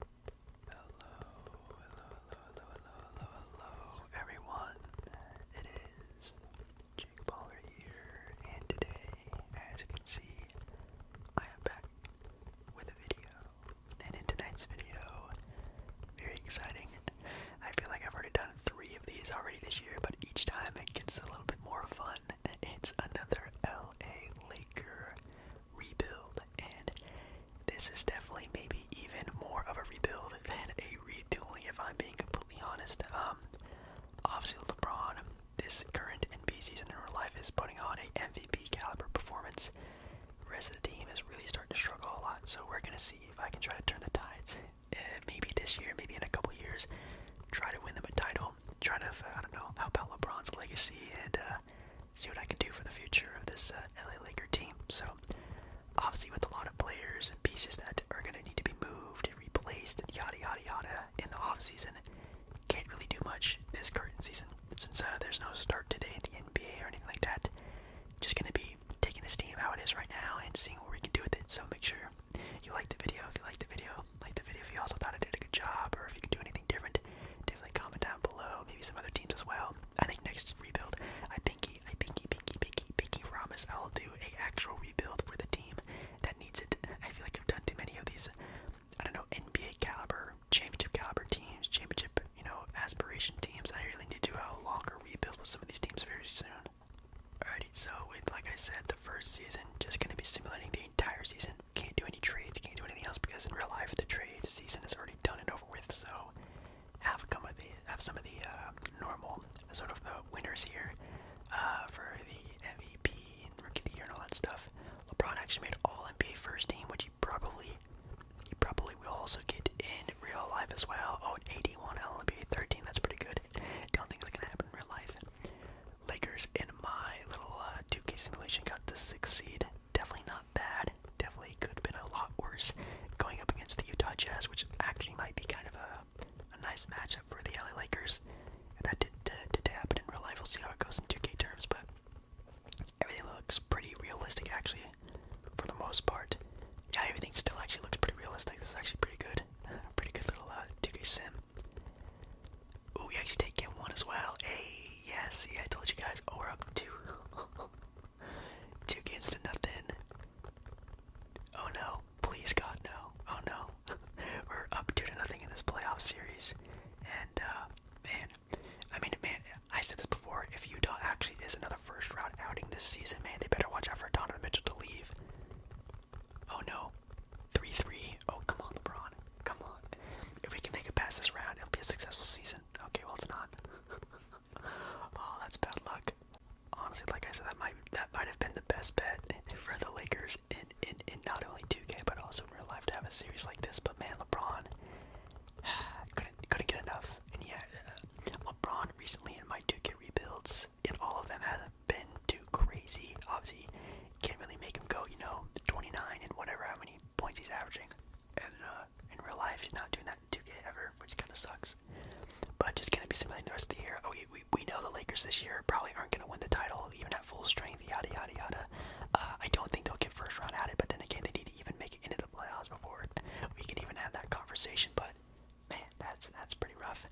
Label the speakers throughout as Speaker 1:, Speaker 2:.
Speaker 1: hello, hello, hello, hello, everyone. It is Jake Baller here, and today, as you can see, I am back with a video. And in tonight's video, very exciting. I feel like I've already done three of these already this year, but each time it gets a little bit more fun. It's another LA Laker rebuild, and this is definitely maybe even more of a rebuild than a redoing. if I'm being completely honest. Um, obviously, LeBron, this current NBA season in real life, is putting on a MVP caliber performance. The rest of the team is really starting to struggle a lot, so we're gonna see if I can try to turn the tides. Eh, maybe this year, maybe in a couple years, try to win them a title, try to, I don't know, help out LeBron's legacy and uh, see what I can do for the future of this uh, LA Laker team. So, obviously, with a lot of players and pieces that are going to need to be moved and replaced, and yada yada yada, in the offseason, can't really do much this current season since uh, there's no start today in the NBA or anything like that. Just going to be taking this team how it is right now and seeing what we can do with it. So, make sure you like the video if you like the video, like the video if you also thought I did a good job or if you can do anything different definitely comment down below. Maybe some other teams as well. I think next rebuild, I pinky, I pinky, pinky, pinky, pinky promise I'll do a actual rebuild for the team that needs it. I feel like I've done too many of these. I don't know NBA caliber, championship caliber teams, championship, you know, aspiration teams. I really need to do a longer rebuild with some of these teams very soon. Alrighty, so with like I said, the first season, just gonna be simulating the entire season can't do any trades, can't do anything else because in real life the trade season is already done and over with. So have some of the uh, normal sort of the uh, winners here uh, for the MVP and Rookie of the Year and all that stuff. LeBron actually made All NBA First Team, which he probably he probably will also get in real life as well. Oh, 81 All NBA 13, that's pretty good. Don't think it's gonna happen in real life. Lakers in my little 2K simulation got the sixth seed definitely not bad. Definitely could have been a lot worse going up against the Utah Jazz, which actually might be kind of a, a nice matchup for the LA Lakers. that did, uh, did happen in real life, we'll see how it goes in 2K terms, but everything looks pretty realistic actually, for the most part. Yeah, everything still actually looks pretty realistic. This is actually pretty good. pretty good little 2K uh, sim. Oh, we actually did get one as well. A yes, yeah, I told you guys. Oh, we're up two, two games to nothing. Oh no, please God, no. Oh no, we're up two to nothing in this playoff series, and uh, man, I mean, man, I said this before. If Utah actually is another first round outing this season, man, they better watch out for Donovan Mitchell to leave. Oh no, three three. Oh come on, LeBron. Come on. If we can make it past this round, it'll be a successful season. Okay, well it's not. oh, that's bad luck. Honestly, like I said, that might that might have been the best bet for the Lakers in, in, in not only 2K but also in real life to have a series like this. But man, LeBron couldn't couldn't get enough. And yeah, uh, LeBron recently in my 2K rebuilds, and all of them hasn't been too crazy. Obviously, can't really make him go, you know, 29 and whatever how many points he's averaging, and uh, in real life he's not doing that in 2K ever, which kind of sucks. But just gonna be simulating the rest of the year. Oh, we, we, know the Lakers this year probably aren't gonna win the title even at full strength. Yada yada yada. Uh, I don't think they'll get first round out of it, but then again, they need to even make it into the playoffs before we can even have that conversation. But man, that's that's pretty rough.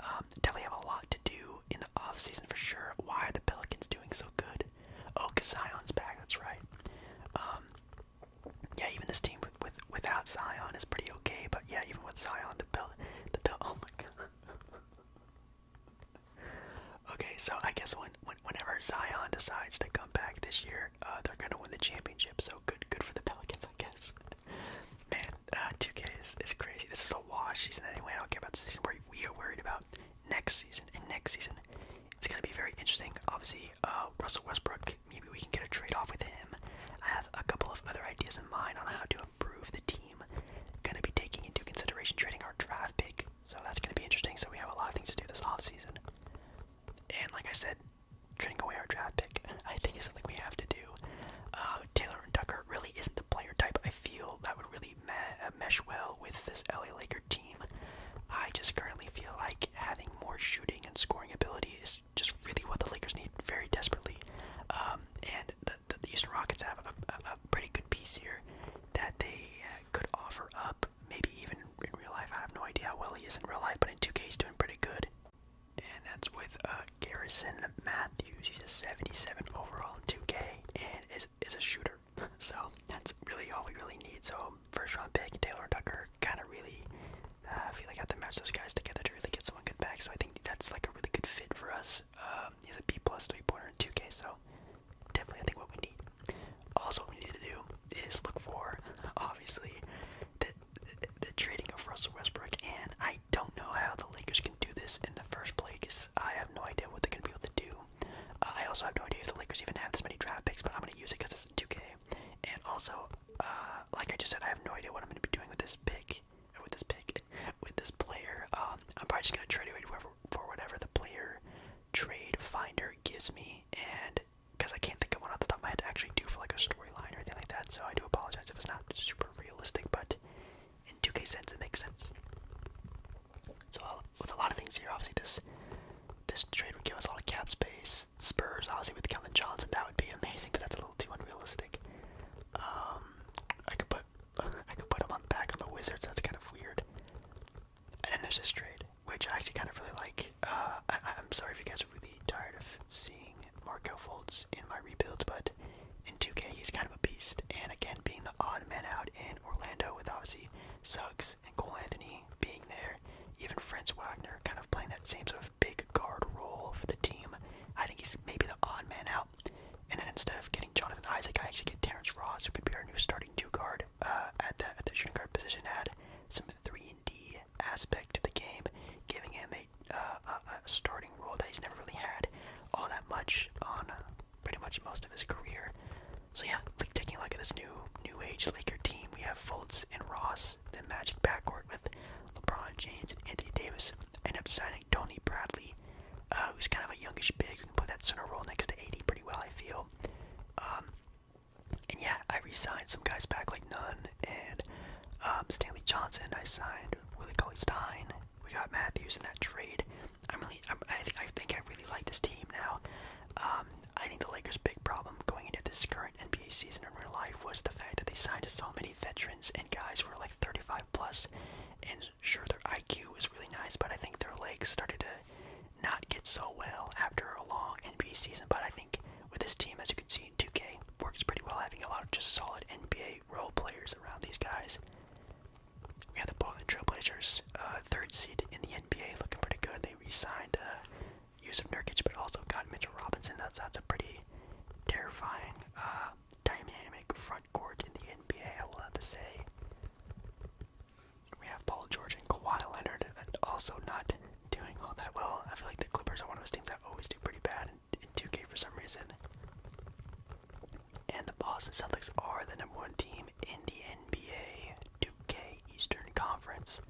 Speaker 1: Um, definitely have a lot to do in the offseason for sure. Why are the Pelicans doing so good? Oh, Zion's back, that's right. Um, yeah, even this team with, without Zion is pretty okay, but yeah, even with Zion, the Pel the Pel oh my god. okay, so I guess when, whenever Zion decides to come back this year, uh, they're gonna win the championship. So good, good for the Pelicans, I guess. Man, 2K uh, is, crazy. This is a wash season anyway. I don't care about the season we are worried about next season. And next season, it's going to be very interesting. Obviously, uh, Russell Westbrook, maybe we can get a trade off with him. I have a couple of other ideas in mind on how to improve the team. Going to be taking into consideration trading our draft pick. So that's going to be interesting. So we have a lot of things to do this offseason. And like I said, trading away our draft pick, I think is something we have to do. Uh, Taylor and Tucker really isn't the player type I feel that would really uh, mesh well with this LA Laker team. I just currently feel like having more shooting and scoring ability is just really what the Lakers need very desperately. Um, and the, the, the Rockets have a, pretty good piece here that they uh, could offer up. Maybe even in real life. I have no idea how well he is in real life, but in 2K he's doing pretty good. And that's with uh, Garrison Matthews. He's a 77 overall in 2K and is is a shooter so that's really all we really need. So first round pick, Taylor Tucker, kind of really uh, I feel like I have to match those guys together to really get someone good back. So I think that's like a really good fit for us. Um, he's a B plus three pointer 2K, so definitely I think what we need. Also, what we need to do is look for obviously the, the trading of Russell Westbrook, and I don't know how the Lakers can do this in the first place. I have no idea what they're going to be able to do. Uh, I also have no idea if the Lakers even have this many draft picks, but I'm going to use it because it's 2K. And also, uh, like I just said, I have no idea what I'm going to be doing with this pick, with this pick, with this player. Um, I'm probably just going to trade it whoever, for whatever the player trade finder gives me, and because I can't think of what off the top of to actually do for like a storyline or anything like that, so I do apologize if it's not super realistic, but in 2K sense, it makes sense. So with a lot of things here, obviously this this trade would give us a lot of cap space. Spurs, obviously with Kevin Johnson, that would be amazing, but that's a little too unrealistic. Um, I could put I could put him on back of the Wizards. That's kind of weird. And then there's this trade, which I actually kind of really like. Uh, I, am sorry if you guys are really tired of seeing Marco Fultz in my rebuild, but in 2K he's kind of a beast. And again, being the odd man out in in Orlando with obviously Suggs and Cole Anthony being there, even Frenz Wagner kind of playing that same sort of big guard role for the team. I think he's maybe the odd man out. And then instead of getting Jonathan Isaac, I actually get Terrence Ross, who could be our new starting two guard uh, at the at the shooting guard position. Add some three and D aspect to the game, giving him a, uh, a, a starting role that he's never really had all that much on pretty much most of his career. So yeah, taking a look at this new new age Laker team, we have Fultz and Ross, the Magic backcourt with LeBron James and Anthony Davis. End up signing Tony Bradley, uh, who's kind of a youngish big who can play that center role next to 80 pretty well, I feel. Um, and yeah, I re some guys back like Nunn and um, Stanley Johnson. I signed Willie Cauley Stein we got Matthews in that trade. I'm really, i think I really like this team now. Um, I think the Lakers' big problem going into this current NBA season in real life was the fact that they signed so many veterans and guys who are like 35 plus. And sure, their IQ is really nice, but I think their legs started to not get so well after a long NBA season. But I think with this team, as you can see in 2K, works pretty well having a lot of just solid NBA role players around these guys. We have the Portland Trailblazers, uh, third seed in the NBA, looking pretty good. They re-signed uh, Yusuf Nurkic, but also got Mitchell Robinson. That's that's a pretty terrifying uh, dynamic front court in the NBA. I will have to say. We have Paul George and Kawhi Leonard, and also not doing all that well. I feel like the Clippers are one of those teams that always do pretty bad in 2K for some reason. And the Boston Celtics are the number one team in the NBA 2 Eastern Conference.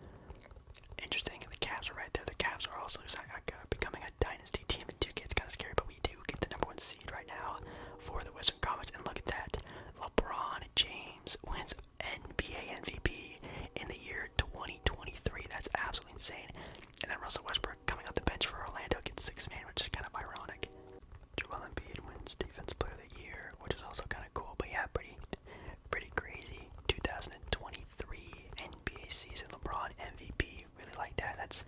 Speaker 1: Interesting, the Cavs are right there. The Cavs are also uh, becoming a dynasty team in 2K. kind of scary, but we do get the number one seed right now for the Western Conference. And look at that LeBron James wins NBA MVP in the year 2023. That's absolutely insane. And then Russell Westbrook coming off the bench for Orlando gets six man, which is kind of ironic. Joel Embiid wins Defense Player of the Year, which is also kind of cool. But yeah, pretty, pretty crazy. 2023 NBA season, LeBron MVP. Really like that. That's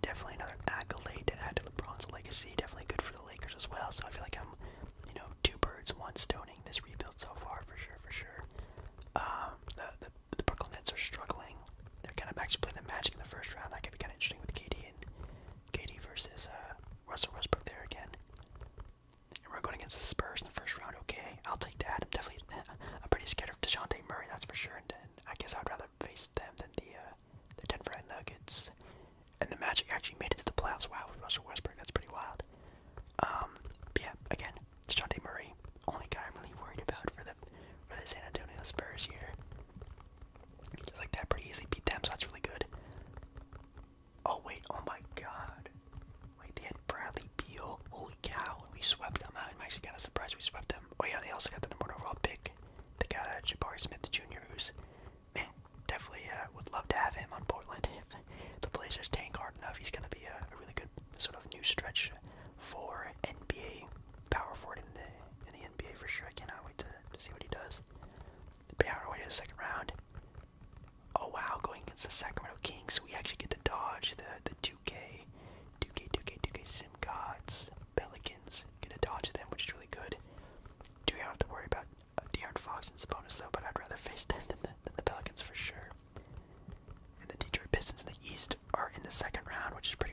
Speaker 1: definitely another accolade to add to LeBron's legacy. Definitely good for the Lakers as well. So I feel like I'm, you know, two birds, one stoning this rebuild so far for sure, for sure. Um, the, the Brooklyn Nets are struggling they're kind of actually playing the Magic in the first round. That could be kind of interesting with KD and KD versus uh, Russell Westbrook there again. And we're going against the Spurs in the first round. Okay, I'll take that. I'm definitely I'm pretty scared of Dejounte Murray, that's for sure. And, and I guess I'd rather face them than the uh, the Denver Nuggets. And the Magic actually made it to the playoffs. Wow, with Russell Westbrook, that's pretty wild. Um, but yeah, again, Dejounte Murray, only guy I'm really worried about for the for the San Antonio Spurs here. Just like that, pretty easily beat them, so that's really good. Oh wait, oh my god. Wait, they Bradley Beal. Holy cow, and we swept them out. I'm actually kinda surprised we swept them. Oh yeah, they also got the number one overall pick. They got uh, Jabari Smith Jr. who's man, definitely uh, would love to have him on Portland. If the Blazers tank hard enough, he's gonna be a really good sort of new stretch for NBA power forward in the in the NBA for sure. I cannot wait to, see what he does. But yeah, we're to the second round. Oh wow, going against the Sacramento Kings, we actually get to dodge the the 2K, 2K, 2K, 2K Sim Gods, Pelicans. going to dodge them, which is really good. Do you have to worry about uh, De'Aaron Fox and Sabonis though? But I'd rather face them than the Pelicans for sure. And the Detroit Pistons in the East are in the second round, which is pretty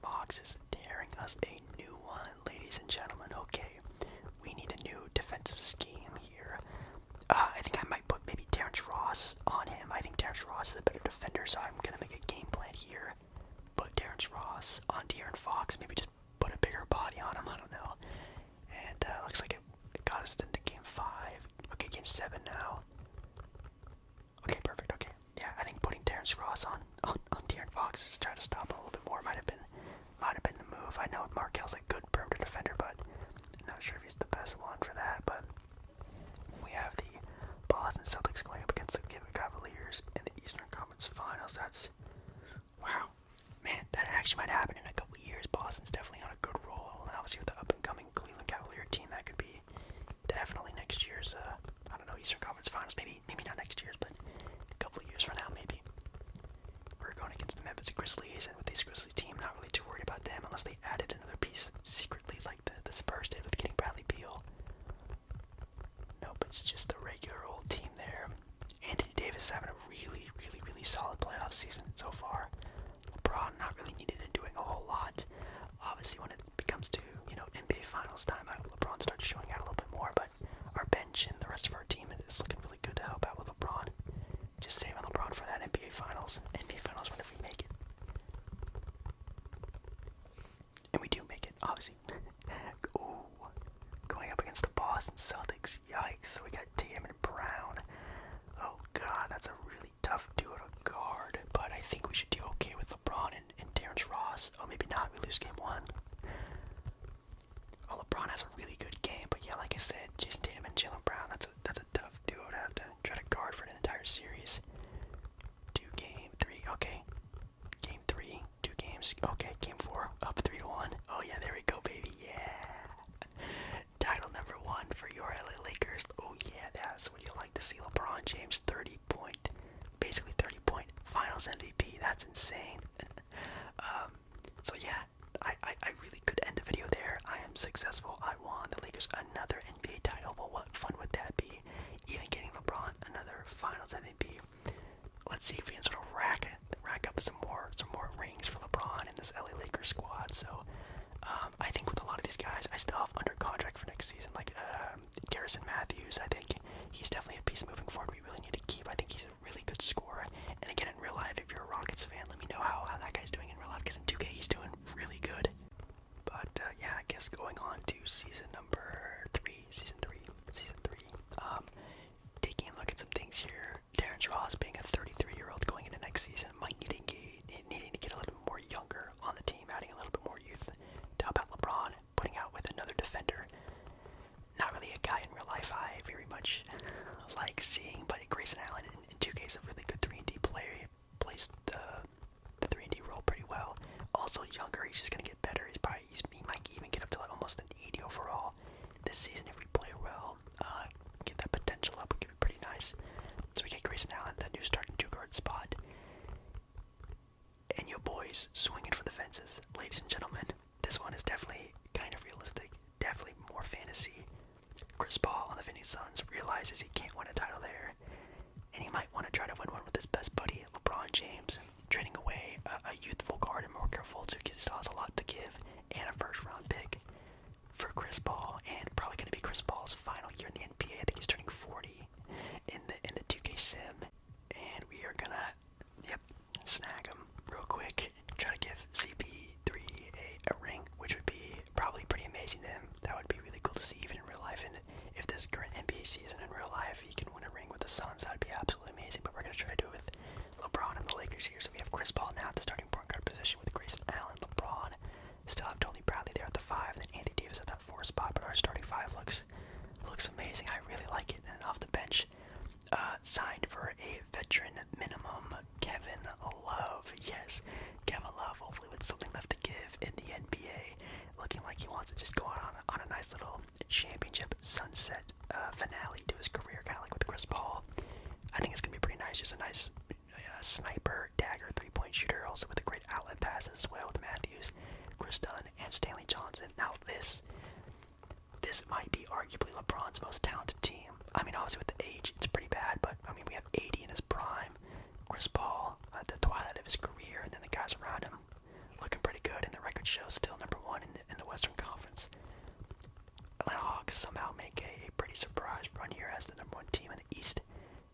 Speaker 1: Fox is tearing us a new one, ladies and gentlemen. Okay, we need a new defensive scheme here. Uh, I think I might put maybe Terrence Ross on him. I think Terrence Ross is a better defender, so I'm gonna make a game plan here. Put Terrence Ross on De'Aaron Fox, maybe just put a bigger body on him, I don't know. And uh, looks like it, it got us into game 5. Okay, game 7 now. Okay, perfect. Okay, yeah, I think putting Terrence Ross on on, on De'Aaron Fox is trying to stop a little bit more. Might have been, might have been the move. I know Markel's a good perimeter defender, but not sure if he's the best one for that. But we have the Boston Celtics going up against the Cavaliers in the Eastern Conference Finals. That's wow, man, that actually might happen in a couple years. Boston's definitely on a good roll, and obviously with the up and coming Cleveland Cavalier team, that could be definitely next year's uh, I don't know, Eastern Conference Finals. Maybe, maybe not next year, but a couple of years from now, maybe. We're going against the Memphis Grizzlies, and with this Grizzlies team, not really too worried about them unless they added another piece secretly, like the, Spurs did with getting Bradley Beal. Nope, it's just the regular old team there. Anthony Davis is having a really, really, really solid playoff season so far. LeBron not really needed and doing a whole lot. Obviously, when it comes to you know NBA Finals time, I, LeBron starts showing out a little bit more. But our bench and the rest of our team is looking really good to help out with LeBron. Just saving LeBron for that NBA Finals. NBA Finals whenever we make it, and we do make it, obviously. Ooh, going up against the Boston Celtics. Yikes! So we got Tatum and Brown. Oh God, that's a really tough dude to guard. But I think we should do okay with LeBron and and, Terrence Ross. Oh, maybe not. We lose game one. Oh, LeBron has a really good game, but yeah, like I said, Jason and Jalen Brown. That's a that's a tough duo to try to guard for an entire series. Two game three. Okay, game three. Two games. Okay, game four. Up three to one. Oh yeah, there we go, baby. Yeah. Title number one for your LA Lakers. Oh yeah, that's what you like to see. LeBron James, thirty point basically 30 point finals MVP. That's insane. Um, so, yeah, I, I, really could end the video there. I am successful. I won the Lakers another NBA title. But what fun would that be? Even getting LeBron another finals MVP. Let's see if we can sort of rack it, rack up some more some more rings for LeBron and this LA Lakers squad. So um, I think with a lot of these guys, I still have under contract for next season, like uh, Garrison Matthews, I think he's definitely a piece moving forward we really need to keep. I think he's a really good scorer. And again, in real life, if you're a Rockets fan, let me know how, how that guy's doing in real life because in 2K he's doing really good. But uh, yeah, I guess going on to season number three, season three, season three. Um, taking a look at some things here, Terrence Ross being a 33-year-old going into next season might need to get, needing to get a little bit more younger on the team, adding a little bit more youth to help out LeBron, putting out with another defender. Not really a guy in real life I very much like seeing, but Grayson Allen in, 2 cases, is a really good 3D player. Plays the the 3D role pretty well. Also younger, he's just gonna get better. He's probably he might even get up to like almost an 80 overall this season if we play well. Uh, get that potential up, would be pretty nice. So we get Grayson Allen, the new starting two guard spot and your boys swinging for the fences, ladies and gentlemen. This one is definitely kind of realistic, definitely more fantasy. Chris Paul and the Phoenix Suns realizes he can't win a title there, and he might want to try to win one with his best buddy, LeBron James, trading away a, youthful guard and more careful two. who still has a lot to give, and a first-round pick for Chris Paul, and probably going to be Chris Paul's final year in the NBA. I think he's turning 40 in the in the 2K sim, and we are gonna yep snag him real quick. Try to give CP3 a, ring, which would be probably pretty amazing to him. That would be really cool to see even in real life. And if this current NBA season in real life, he can win a ring with the Suns, that'd be absolutely amazing. But we're gonna try to do it with LeBron and the Lakers here. So we have Chris Paul now at the starting point guard position with Grayson Allen, LeBron, Still have Tony Bradley there at the five, and then Anthony Davis at that four spot. But our starting five looks looks amazing. I really like it. And off the bench, uh, signed for a veteran minimum, Kevin Love. Yes, Kevin Love. Hopefully, with something left to give in the NBA, looking like he wants to just go on on a nice little championship sunset uh, finale to his career, kind of like with Chris Paul. I think it's gonna be pretty nice. Just a nice uh, sniper dagger three-point shooter, also with a great outlet pass as well with Matthews, Chris Dunn, and Stanley Johnson. Now this, this might be arguably LeBron's most talented team. I mean, obviously with the age, it's pretty bad, but I mean we have 80 in his prime, Chris Paul at the twilight of his career, and then the guys around him looking pretty good, and the record shows still number one in the, in the Western Conference. Atlanta Hawks somehow make a, a pretty surprise run here as the number one team in the East.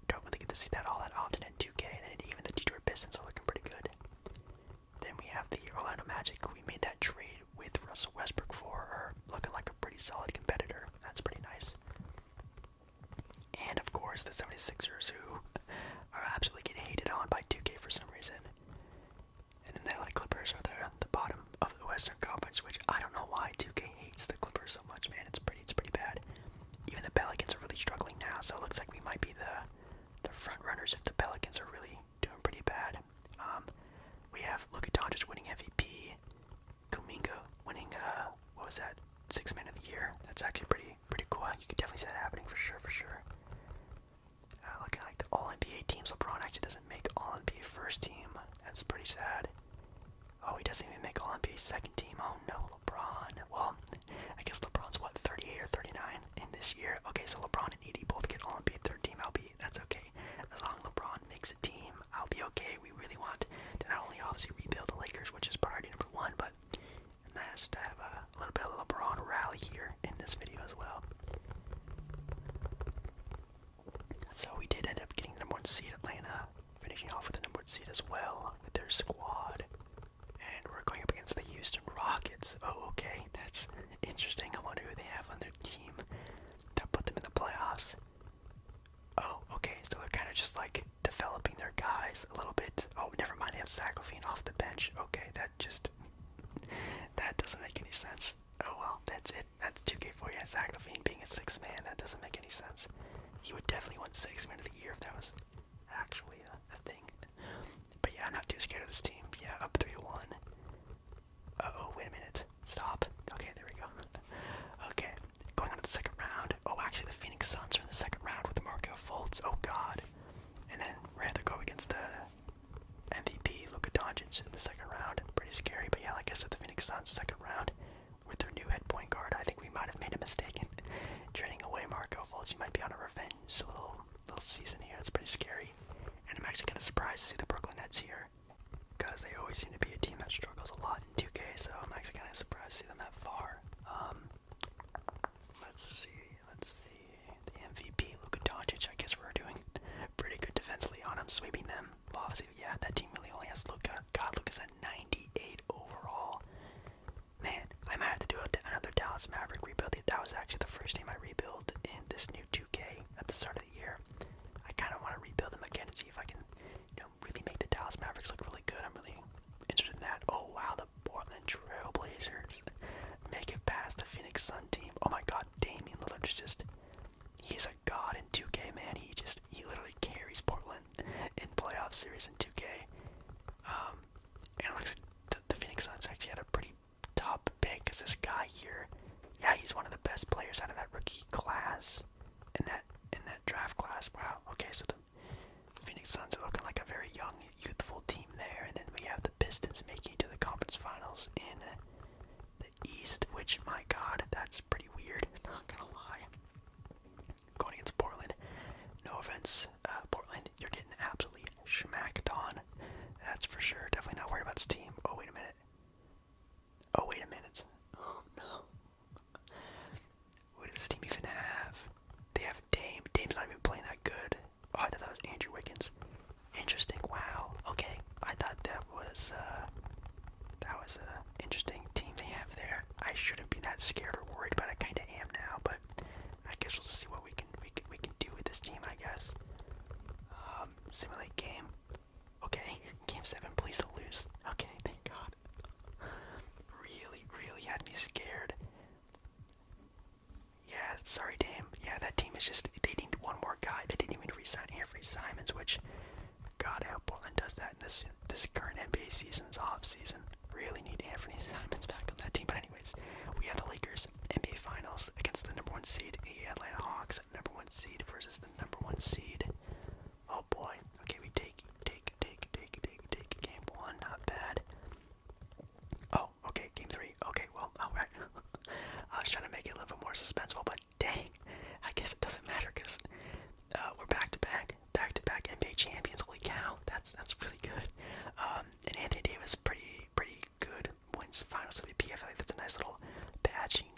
Speaker 1: Don't really get to see that all that often in 2K, and even the Detroit Pistons are looking pretty good. Then we have the Orlando Magic. We made that trade with Russell Westbrook for, or looking like a pretty solid competitor. That's pretty nice. And of course, the 76ers, who are absolutely getting hated on by 2K for some reason. And then the LA Clippers are at the bottom of the Western Conference, which I don't know why 2K hates the Clippers so much, man. It's pretty, it's pretty bad. Even the Pelicans are really struggling now, so it looks like we might be the the front runners if the Pelicans are really doing pretty bad. Um, we have look at Doncic winning MVP, Kuminga winning uh, what was that? Six Man of the Year. That's actually pretty, pretty cool. You could definitely see that happening for sure, for sure. Uh, looking like the All NBA teams, LeBron actually doesn't make All NBA first team. That's pretty sad. Oh, he doesn't even make Olympia's second team. Oh no, LeBron. Well, I guess LeBron's what, 38 or 39 in this year? Okay, so LeBron and Edie both get Olympia third team. I'll be, that's okay. As long LeBron makes a team, I'll be okay. We really want to not only obviously rebuild the Lakers, which is priority number one, but that's to have a little bit of LeBron rally here in this video as well. So we did end up getting number one seed Atlanta finishing off with the number one seed as well with their squad. And we're going up against the Houston Rockets. Oh, okay, that's interesting. I wonder who they have on their team that put them in the playoffs. Oh, okay, so they're kind of just like developing their guys a little bit. Oh, never mind, they have Zach Levine off the bench. Okay, that just that doesn't make any sense. Oh well, that's it. That's 2K for you. Zach Levine being a six man, that doesn't make any sense. He would definitely win six minutes of the year if that was actually a, thing. But yeah, I'm not too scared of this team. Yeah, up 3-1. oh wait a minute. Stop. Okay, there we go. okay, going on to the second round. Oh, actually, the Phoenix Suns are in the second round with the Marco Fultz. Oh, God. And then we're to go against the MVP, Luka Doncic, in the second round. Pretty scary, but yeah, like I said, the Phoenix Suns, second round with their new head point guard. I think we might have made a mistake in trading away Marco Fultz. You might be on a revenge little little season here. That's pretty scary. And I'm actually kind of surprised to see the Brooklyn Nets here because they always seem to be a team that struggles a lot in 2K. So I'm actually kind of surprised to see them that far. Um, let's see. Let's see. The MVP, Luka Doncic. I guess we're doing pretty good defensively on him, sweeping them. Well, obviously, yeah, that team really only has Luka. God, Luka's at 98 overall. Man, I might have to do another Dallas Maverick rebuild. That was actually the first team I rebuilt in this new 2K at the start of the year. I kind of want to rebuild them again and see if I can, you know, really make the Dallas Mavericks look really good. I'm really interested in that. Oh wow, the Portland Trailblazers make it past the Phoenix Sun team. Oh my God, Damian Lillard is just—he's a god in 2K, man. He just—he literally carries Portland in playoff series in 2K. Um, the Phoenix Suns actually had a pretty top pick because this guy here, yeah, he's one of the best players out of that rookie class in that in that draft class. Wow. Okay, so the Phoenix Suns are looking like a very young, youthful team there, and then we have the Pistons making it to the conference finals in the East, which my God, that's pretty weird. Not gonna lie going against Portland. No offense, uh, Portland, you're getting absolutely smacked on. That's for sure. Definitely not worried about this team. Oh, wait a minute. Oh, wait a minute. Oh, no. What does this team even have? They have Dame. Dame's not even playing that good. Oh, I thought that was Andrew Wiggins. Interesting. Wow. Okay. I thought that was, uh, that was an interesting team they have there. I shouldn't be that scared or worried, but I kind of am now. But I guess we'll see what we can we can we can do with this team. I guess. Um, simulate game. Okay, game seven. Please don't lose. Okay, thank God. Really, really had me scared. Yeah, sorry, damn. Yeah, that team is just—they need one more guy. They didn't even resign Avery Simons, which God, how Portland does that in this this current NBA season's off season. Really need Anthony Simons back on that team. But anyways, we have the Lakers NBA Finals against the number one seed, the Atlanta Hawks. Number one seed versus the number one seed. Oh boy. Okay, we take take take take take take game one. Not bad. Oh, okay, game three. Okay, well, alright. I was trying to make it a little bit more suspenseful, but dang, I guess it doesn't matter because uh, we're back to back, back to back NBA champions. Holy cow, that's that's really good. Um, and Anthony Davis, pretty pretty good. Wins Finals MVP. I feel that's a nice little patching,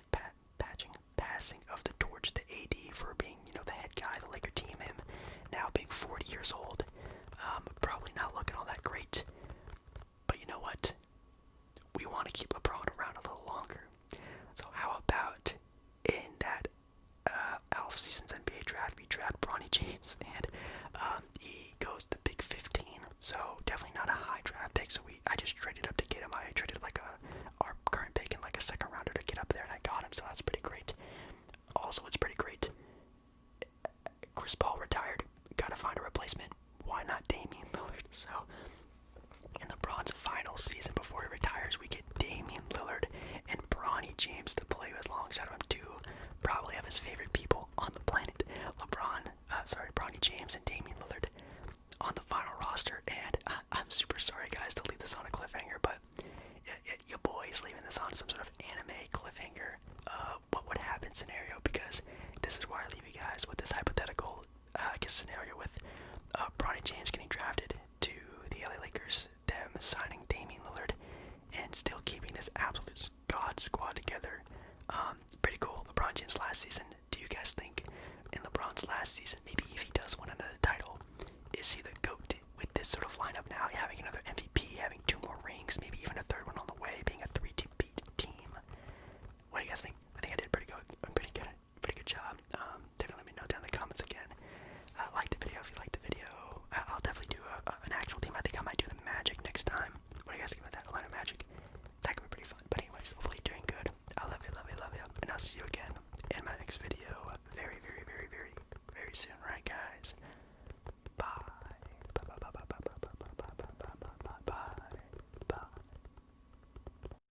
Speaker 1: patching, passing of the torch to AD for being you know the head guy, the Laker team. Him now being 40 years old, um, probably not looking all that great. But you know what? We want to keep LeBron around a little longer. So how about in that uh, Alf season's NBA draft, we draft Bronny James, and um, he goes the big 15. So definitely not a high draft pick. So we, I just traded up to get him. I traded like a our current pick and like a second rounder to get up there, and I got him. So that's pretty great. Also, it's pretty great. Chris Paul retired. Gotta find a replacement. Why not Damian Lillard? So in LeBron's final season before he retires, we get Damian Lillard and Bronny James to play with alongside of him, too. probably of his favorite people on the planet. LeBron, uh, sorry, Bronny James and Damian Lillard on the final roster. And uh, I, am super sorry, guys, to leave this on a cliffhanger, but y y your boy is leaving this on some sort of anime cliffhanger, uh, what would happen scenario, because this is why I leave you guys with this hypothetical guess scenario with Bronny James getting drafted to the LA Lakers, them signing Damian Lillard and still keeping this absolute god squad together. Um, pretty cool. LeBron James last season. Do you guys think in LeBron's last season, maybe if he does win another title, is he the GOAT with this sort of lineup now, having another MVP, having two more rings, maybe even a third one on the way, being a 3 2 team? What do you guys think? I think I did pretty good. I'm pretty good pretty good job. definitely let me know down in the comments again. like the video if you like the video. I will definitely do an actual team. I think I might do the Magic next time. What do you guys think about that? A line of Magic. That could be pretty fun. But anyways, hopefully you're doing good. I love you, love you, love you. And I'll see you again in my next video very, very, very, very, very soon. Right, guys? Bye. Bye, bye, bye, bye, bye, bye, bye, bye, bye, bye, bye, bye, bye.